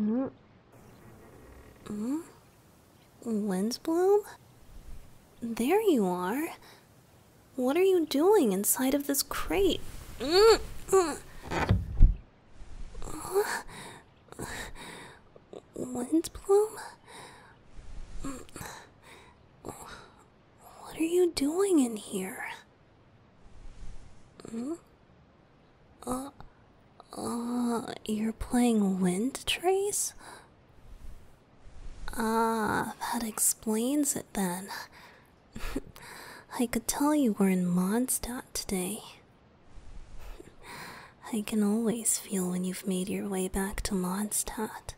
Mm. Mm? Windsbloom? There you are. What are you doing inside of this crate? Mm. Mm. Windbloom? What are you doing in here? Hmm? Uh, uh, you're playing wind trace? Ah, that explains it then. I could tell you were in Mondstadt today. I can always feel when you've made your way back to Mondstadt.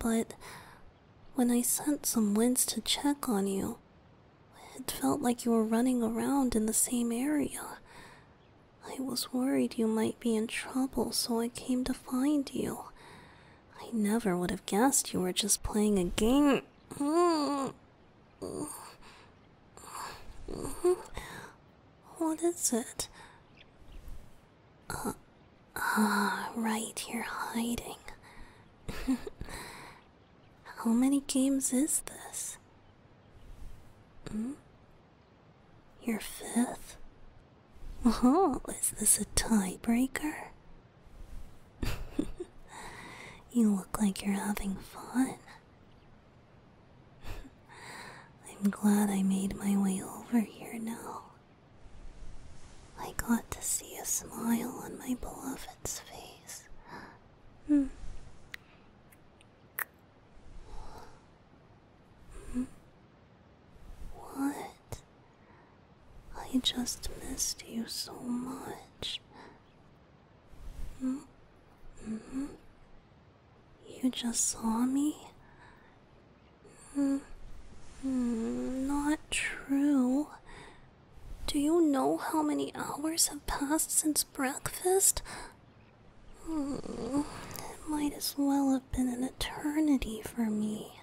But when I sent some winds to check on you, it felt like you were running around in the same area. I was worried you might be in trouble, so I came to find you. I never would have guessed you were just playing a game. What is it? Uh, ah, right, you're hiding. How many games is this? Hmm? Your fifth? Oh, is this a tiebreaker? you look like you're having fun. I'm glad I made my way over here now. I got to see a smile on my beloved's face. Hmm. Hmm. What? I just missed you so much. Mm hmm. You just saw me? hmm. Not true. Do you know how many hours have passed since breakfast? Mm, it might as well have been an eternity for me.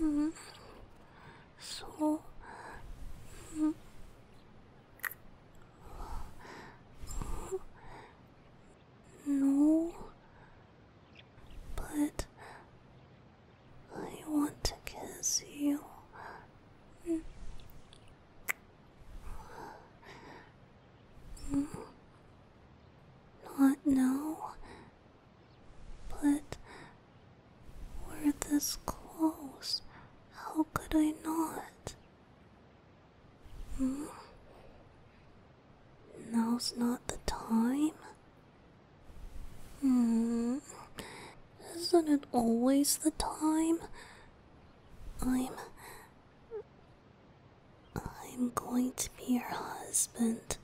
Mm, so, mm, no, but I want to kiss you. Mm. Not now, but we're this close. How could I not? Hmm? Now's not the time? Hmm? Isn't it always the time? I'm. I'm going to be your husband.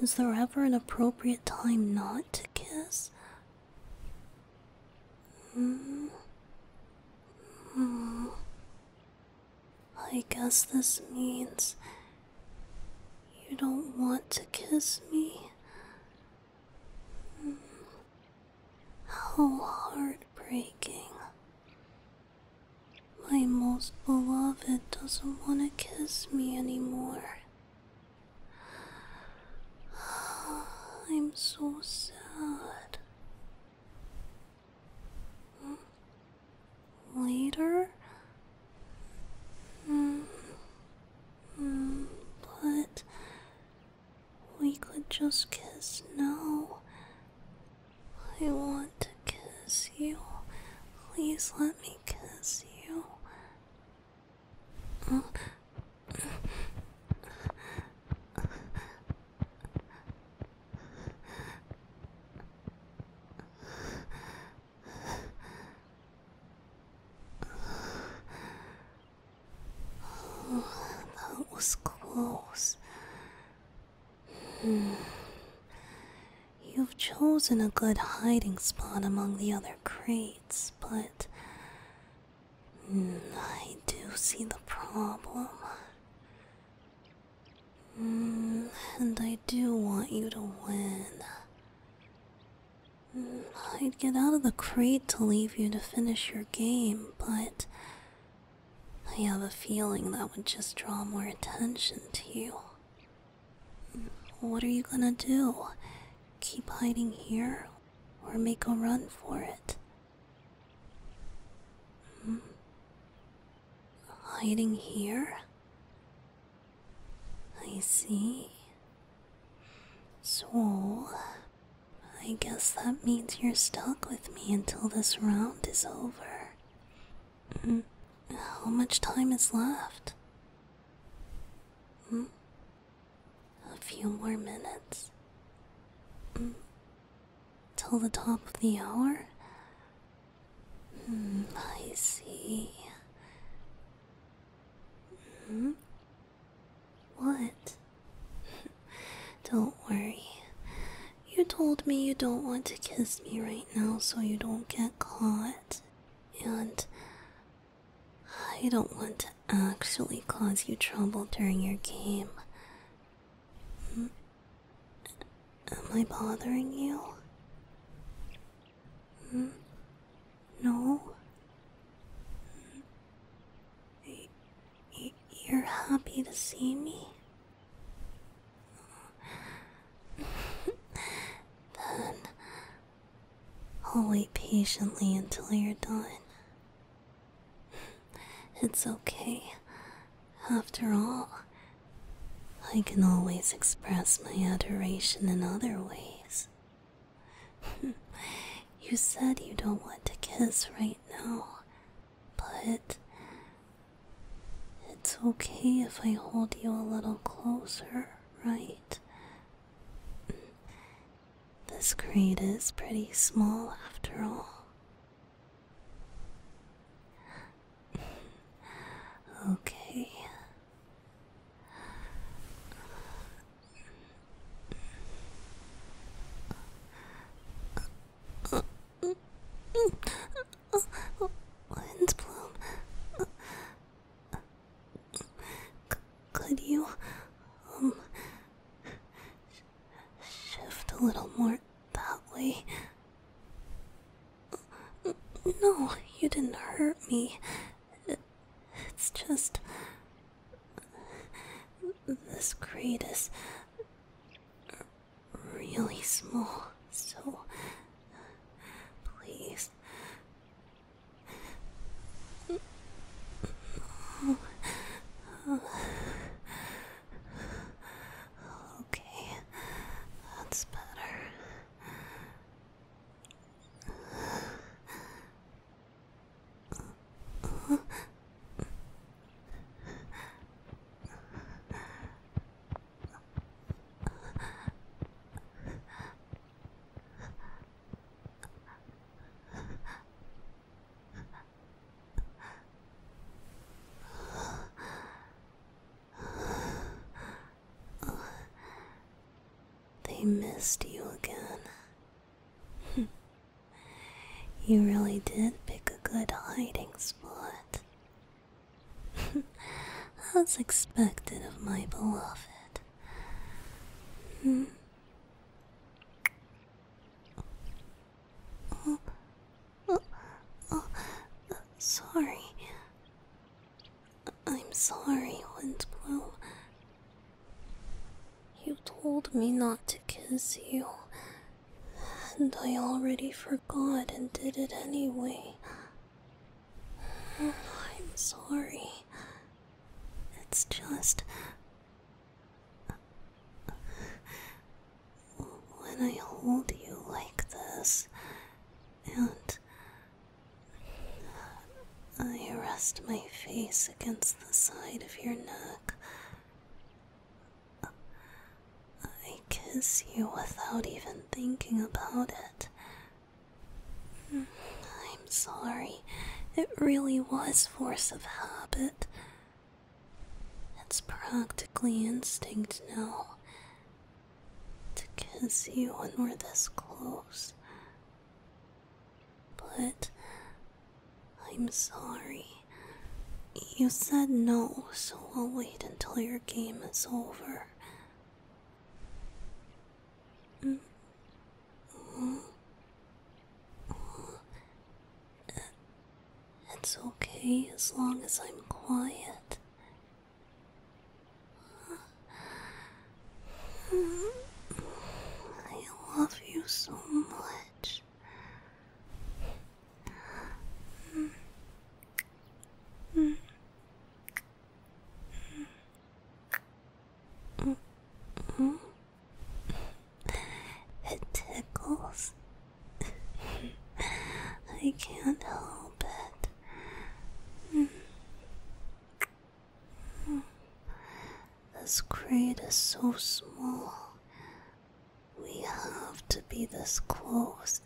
Is there ever an appropriate time not to kiss? Mm. I guess this means you don't want to kiss me. Mm. How heartbreaking. My most beloved doesn't want to kiss me anymore. I'm so sad. Hmm? Later? Mm. Mm, but we could just kiss now. I want to kiss you. Please let me kiss you. Oh, that was close. Hmm. You've chosen a good hiding spot among the other crates, but I do see the problem. Mm, and I do want you to win. Mm, I'd get out of the crate to leave you to finish your game, but I have a feeling that would just draw more attention to you. What are you gonna do? Keep hiding here or make a run for it. Hmm? Hiding here? I see. So, I guess that means you're stuck with me until this round is over. Hmm? How much time is left? Hmm? a few more minutes. Hmm. Till the top of the hour? Hmm, I see. Hmm? What? don't worry. You told me you don't want to kiss me right now so you don't get caught. And I don't want to actually cause you trouble during your game. Hmm? Am I bothering you? Hmm? No? Hmm? You're happy to see me? then I'll wait patiently until you're done. It's okay. After all, I can always express my adoration in other ways. you said you don't want to kiss right now, but it's okay if I hold you a little closer, right? This crate is pretty small after all. okay. Wind bloom could you, um, shift a little more that way? No, you didn't hurt me. It's just. This crate is really small, so please Okay, that's better. They missed you again. you really did pick a good hiding spot. As expected of my beloved. Hmm. Oh, oh, oh, sorry. I'm sorry, Windbloom. You told me not to kiss you, and I already forgot and did it anyway. I'm sorry. It's just. When I hold you like this, and I rest my face against the side of your neck, I kiss you without even thinking about it. I'm sorry. It really was force of habit. It's practically instinct now to kiss you when we're this close. But I'm sorry. You said no, so I'll wait until your game is over. Mm. It's okay as long as I'm quiet. I love you so much. It tickles. I can't help it. This crate is so small. We have to be this close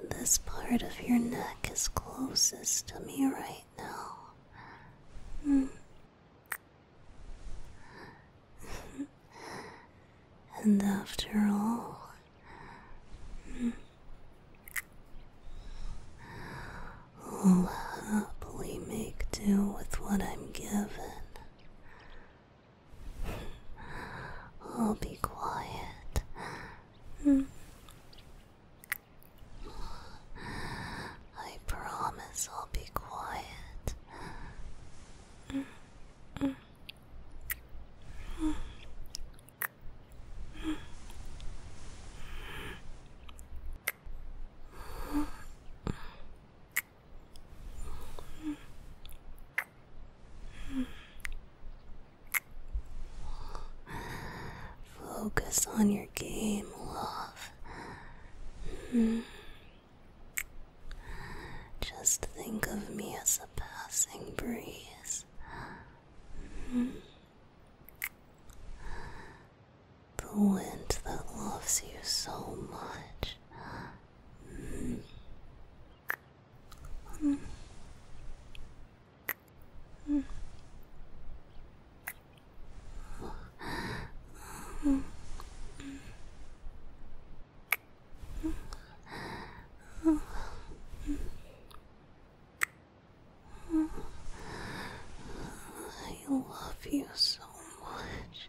and this part of your neck is closest to me right now. Hmm. and after all, hmm, I'll happily make do with what I'm given. I'll be quiet. Hmm. I promise I'll be quiet. Focus on your game, love. Hmm. Just think of me as a passing breeze. Hmm. The wind that loves you so much. Hmm. I love you so much.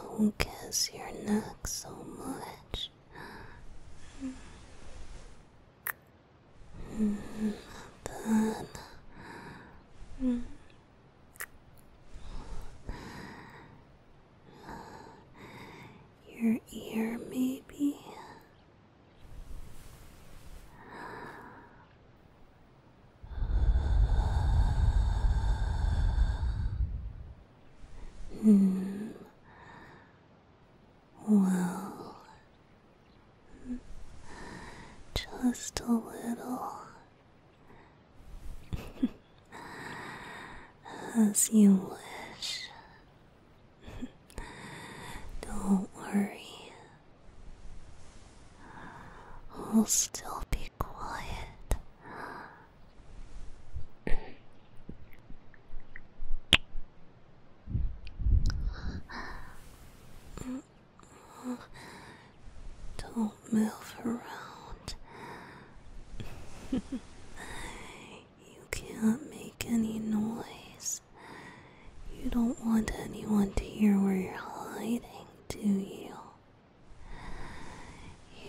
Don't kiss your neck so much. Then, your ear, maybe. Hmm. Well, just a little. As you wish. Don't worry. I'll still be quiet. Don't move around. you can't make any noise. You don't want anyone to hear where you're hiding, do you?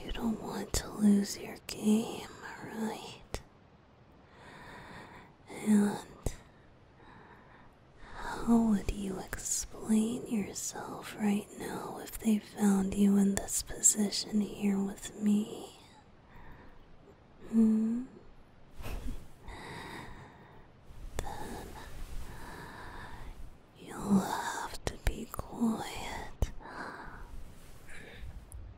You don't want to lose your game, right? And how would you explain yourself right now if they found you in this position here with me? Hmm? then you'll have to be quiet.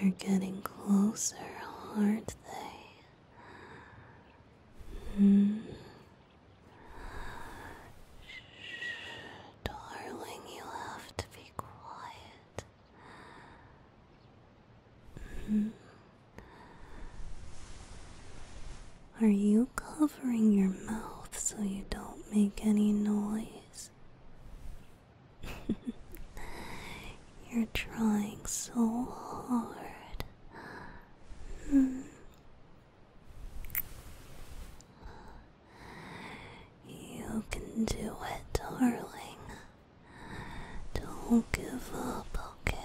They're getting closer, aren't they? Mm. Darling, you have to be quiet. Hmm. Are you covering your mouth so you don't make any noise? You're trying so hard. Hmm. You can do it, darling. Don't give up, okay?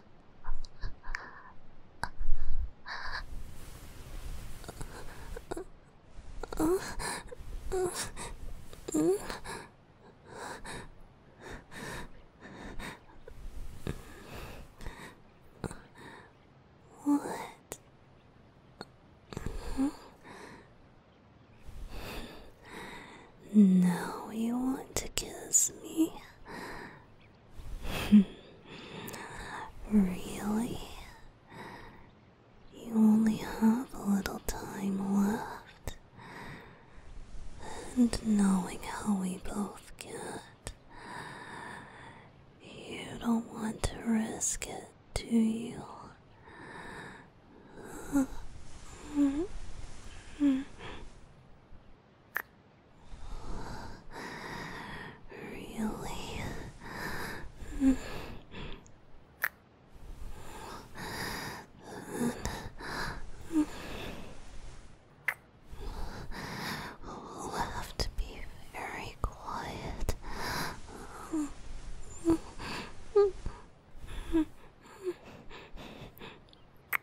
What? Hmm? Now you want to kiss me? really? You only have a little time left. And knowing how we both get, you don't want to risk it, do you? Mm-hmm. Really? We'll have to be very quiet.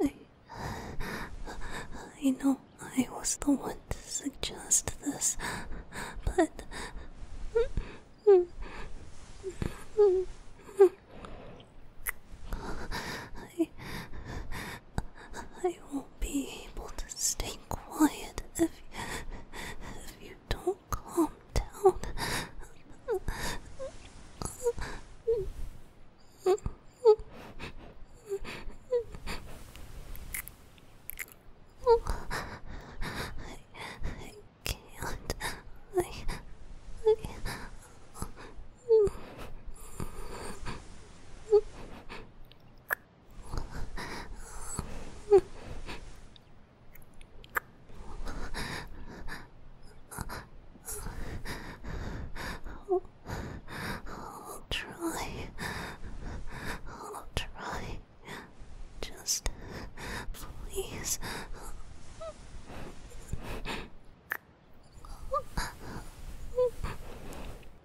I, I know I was the one to suggest this, but. I, I won't be able to stay quiet if you, if you don't calm down. I, I can't. I, I, I'll, try. I'll try. Just please.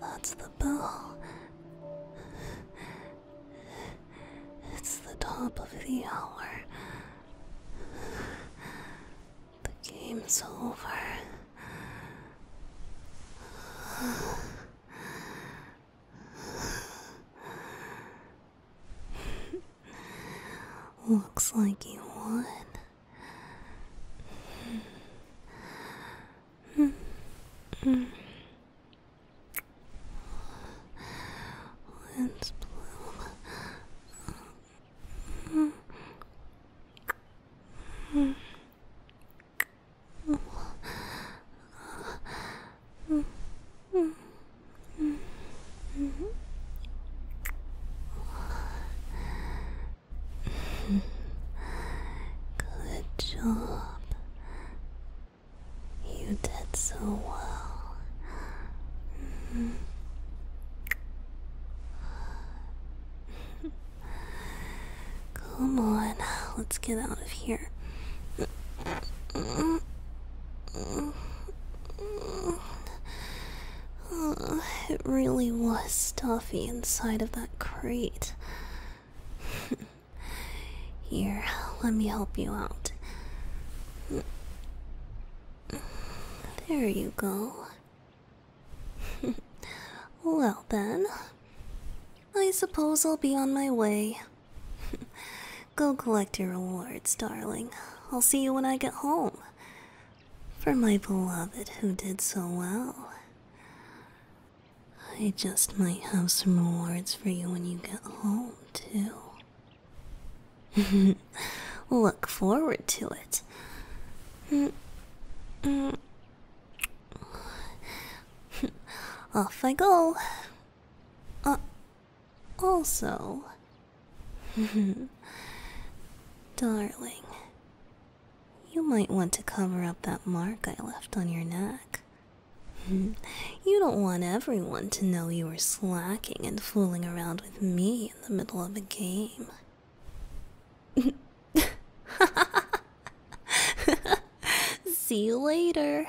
That's the bell. It's the top of the hour. The game's over. Looks like you won. Lens bloom. Good job. You did so well. Come on, let's get out of here. it really was stuffy inside of that crate. Here, let me help you out. There you go. well, then, I suppose I'll be on my way. go collect your rewards, darling. I'll see you when I get home. For my beloved who did so well. I just might have some rewards for you when you get home too. Look forward to it. Off I go. Uh, also, darling, you might want to cover up that mark I left on your neck. you don't want everyone to know you were slacking and fooling around with me in the middle of a game. See you later.